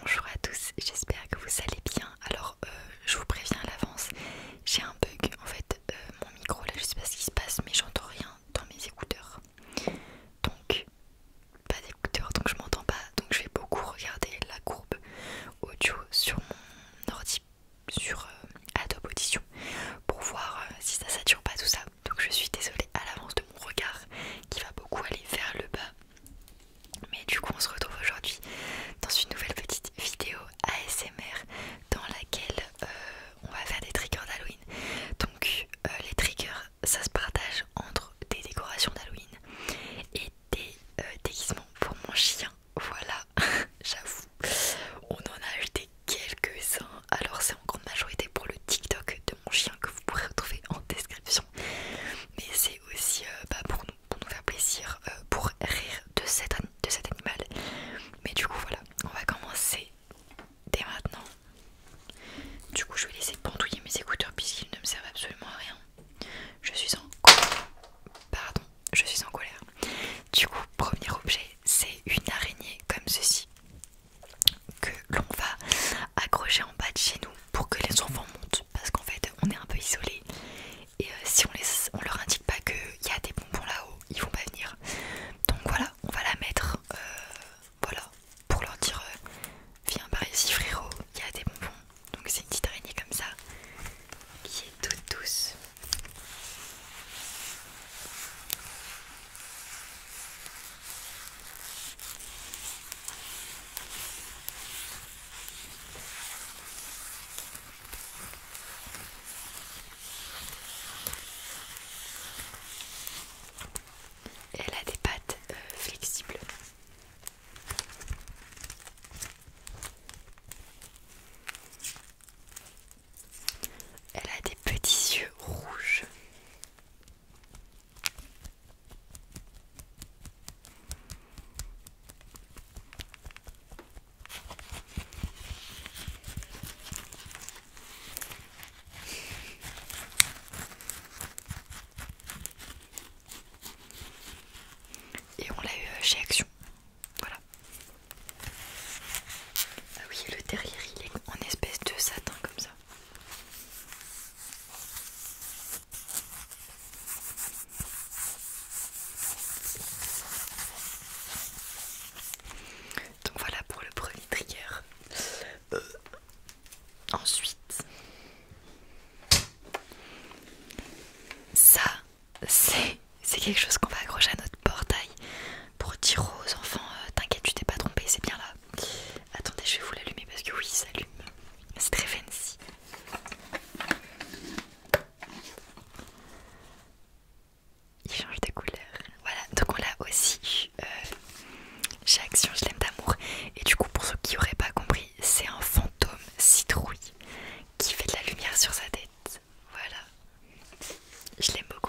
Bonjour à tous, j'espère que vous allez bien. Alors, euh, je vous préviens à l'avance, j'ai un bug en fait. Euh, mon micro là, je sais pas ce qui se passe, mais j'entends rien dans mes écouteurs. Donc, pas d'écouteurs, donc je m'entends pas. Donc, je vais beaucoup regarder la courbe audio sur mon ordi, sur euh, Adobe Audition, pour voir si ça sature pas tout ça donc je suis désolée à l'avance de mon regard qui va beaucoup aller vers le bas. Mais du coup on se retrouve aujourd'hui dans une nouvelle petite vidéo ASMR dans laquelle euh, on va faire des triggers d'Halloween. Donc euh, les triggers ça se partage entre des décorations d'Halloween et des euh, déguisements pour mon chien. Voilà, j'avoue, on en a des quelques-uns, alors c'est en grande majorité pour le TikTok de mon chien que vous pourrez retrouver en description, mais c'est aussi euh, bah, pour, nous, faire plaisir, euh, pour rire de, de cet animal. Mais du coup voilà, on va commencer dès maintenant. Du coup je vais laisser pendouiller mes écouteurs puisqu'ils ne me servent absolument à rien. Je suis en colère. Pardon, je suis en colère. Du coup, premier objet, c'est une araignée comme ceci que l'on va accrocher en bas de chez nous pour que les enfants montent parce qu'en fait on est un peu isolé et euh, si on, les, on leur indique pas qu'il y a des bonbons là-haut ils vont pas venir donc voilà on va la mettre euh, voilà pour leur dire euh, viens par bah, ici frérot il y a des bonbons donc c'est une petite araignée comme ça qui est toute douce elle a des pattes euh, flexibles. Elle a des petits yeux rouges. Et on l'a eu euh, chez Action. Voilà. Ah oui, le derrière il est en espèce de satin comme ça. Donc voilà pour le premier trigger. Euh, ensuite, ça, c'est quelque chose qu'on va accrocher à notre portail pour dire aux enfants euh, T'inquiète, tu t'es pas trompé, c'est bien là. Attendez, je vais vous l'allumer parce que oui, il s'allume. C'est très fancy. Il change de couleur. Voilà, donc on l'a aussi eu euh, Action, je l'aime d'amour. Et du coup, pour ceux qui n'auraient pas compris, c'est un fantôme citrouille qui fait de la lumière sur sa tête. Voilà. Je l'aime beaucoup.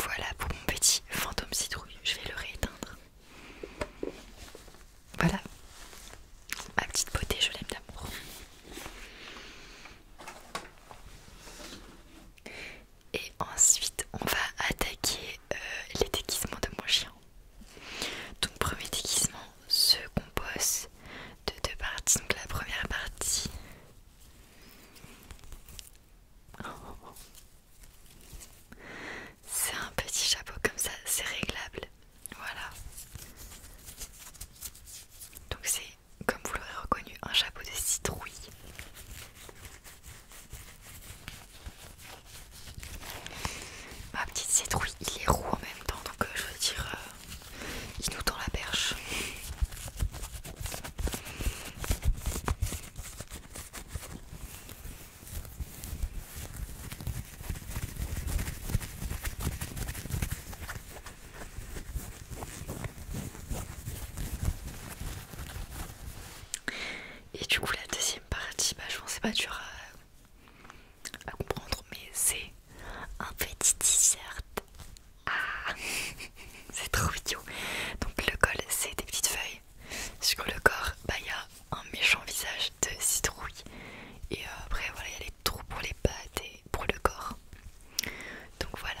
Voilà pour mon petit fantôme citrouille, je vais le rééteindre. Voilà, ma petite beauté, je l'aime d'amour. Et ensuite, on va attaquer euh, les déguisements de mon chien. Donc premier déguisement se compose de deux parties. Donc la première partie... C'est un petit chapeau comme ça, c'est réglable. Voilà. Donc c'est, comme vous l'aurez reconnu, un chapeau de citrouille. Ma petite citrouille, il est roux en même temps, donc euh, je veux dire, euh, il nous tend la perche. Et du coup la deuxième partie, bah, je pensais pas dur à comprendre, mais c'est un petit t-shirt. Ah, c'est trop idiot. Donc le col, c'est des petites feuilles. Sur le corps, bah il y a un méchant visage de citrouille. Et euh, après, voilà, il y a les trous pour les pattes et pour le corps. Donc voilà.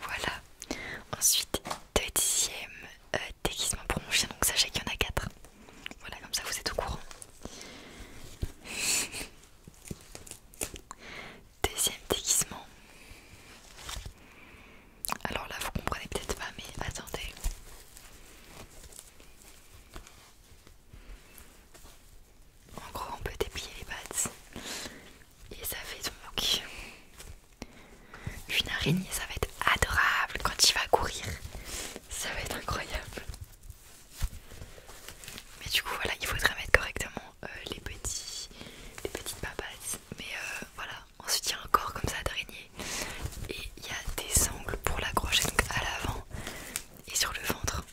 Voilà, ensuite deuxième euh, déguisement pour mon chien, donc sachez qu'il y en a quatre. Voilà, comme ça vous êtes au courant. Deuxième déguisement. Alors là, vous comprenez peut-être pas, mais attendez. En gros, on peut déplier les pattes et ça fait donc une araignée. Ça va être adorable quand il va courir. Ça va être incroyable. Mais du coup voilà, il faudrait mettre correctement euh, les, petits, petites papates. Mais euh, voilà, ensuite il y a comme ça drainer. Et il y a des angles pour l'accrocher, donc à l'avant et sur le ventre.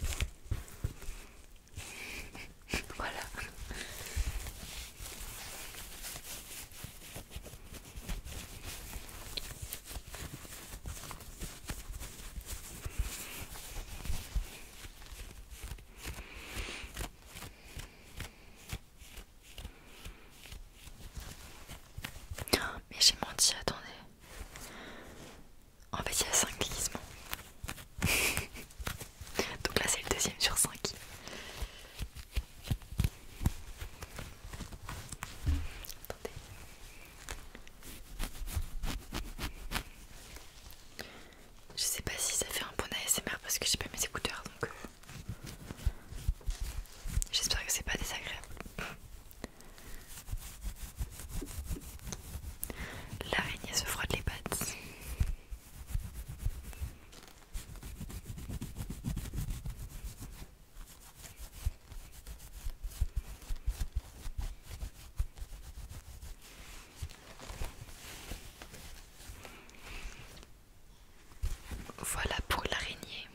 voilà. Mais j'ai menti, attendez. En fait, il y a 5 glissements. Donc là, c'est le deuxième sur 5. Je sais pas si ça fait un bon ASMR parce que j'ai pas mes écouteurs donc euh, j'espère que c'est pas désagréable. L'araignée se froide les pattes. Voilà pour l'araignée.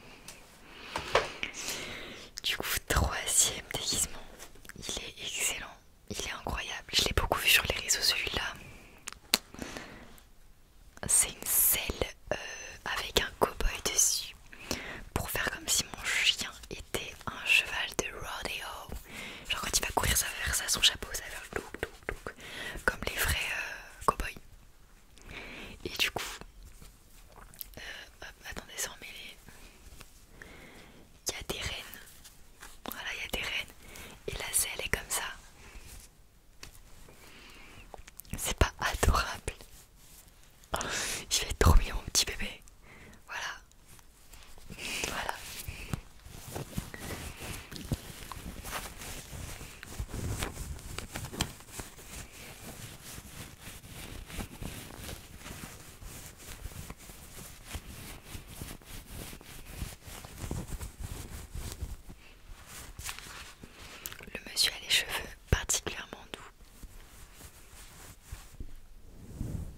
Du coup, troisième déguisement. Il est excellent. Il est incroyable. Je l'ai beaucoup vu sur les réseaux celui-là. C'est une selle euh, avec un cow dessus pour faire comme si mon chien t'es un cheval de rodeo. Genre quand il va courir, ça va faire ça, son chapeau, ça va faire look, look, look, comme les vrais euh, cowboys. Et du coup, euh, hop, attendez, sans mêler, il y a des rennes. Voilà, il y a des rennes. Et la selle est comme ça. C'est pas adorable. je fait trop mon petit bébé. Voilà, le monsieur a les cheveux particulièrement doux.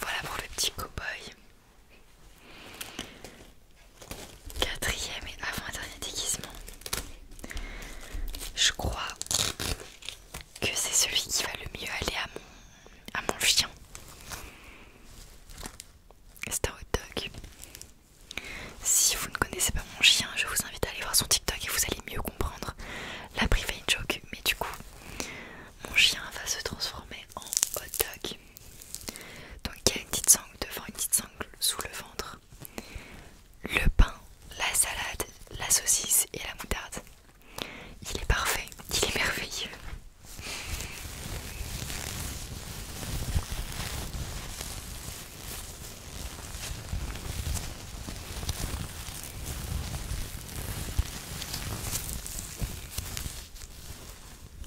Voilà pour le petit cow Quatrième et avant-dernier déguisement. Je crois que c'est celui qui va le mieux aller à mon, chien. C'est un hot dog. Si vous ne connaissez pas mon chien, je vous invite à aller voir son TikTok et vous allez mieux comprendre. La privée joke, mais du coup, mon chien va se transformer en hot dog. Donc il y a une petite sangle devant, une petite sangle sous le ventre, le pain, la salade, la saucisse et la moutarde. Il est parfait, il est merveilleux.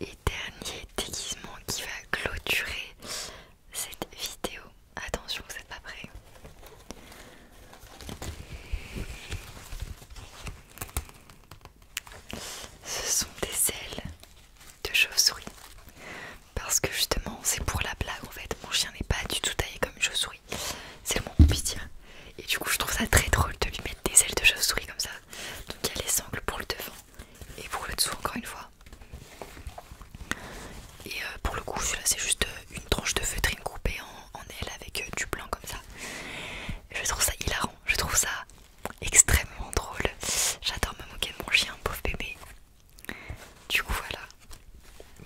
Et dernier déguisement qui va clôturer cette vidéo. Attention, vous n'êtes pas prêts. Ce sont des ailes de chauve-souris. Parce que justement, c'est pour la blague en fait. Mon chien n'est pas du tout taillé comme une chauve-souris. C'est le moins dire, Et du coup, je trouve ça très drôle de lui mettre des ailes de chauve-souris comme ça. Donc il y a les sangles pour le devant et pour le dessous, encore une fois. Et euh, pour le coup, celui-là, c'est juste euh, une tranche de feutrine coupée en, aile avec euh, du blanc comme ça. Je trouve ça hilarant je trouve ça extrêmement drôle. J'adore me moquer de mon chien, pauvre bébé. Du coup, voilà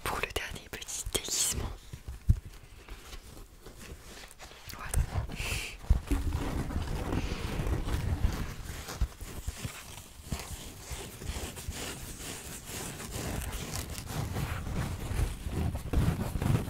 pour le dernier petit déguisement. Voilà.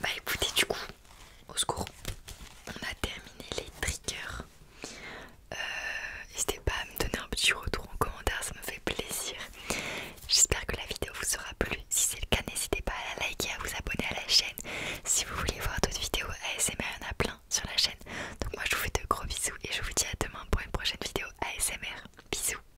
Bah écoutez du coup, au secours, on a terminé les triggers. Euh, n'hésitez pas à me donner un petit retour en commentaire, ça me fait plaisir. J'espère que la vidéo vous aura plu. Si c'est le cas, n'hésitez pas à la liker, et à vous abonner à la chaîne. Si vous voulez voir d'autres vidéos ASMR, il y en a plein sur la chaîne. Donc moi je vous fais de gros bisous et je vous dis à demain pour une prochaine vidéo ASMR. Bisous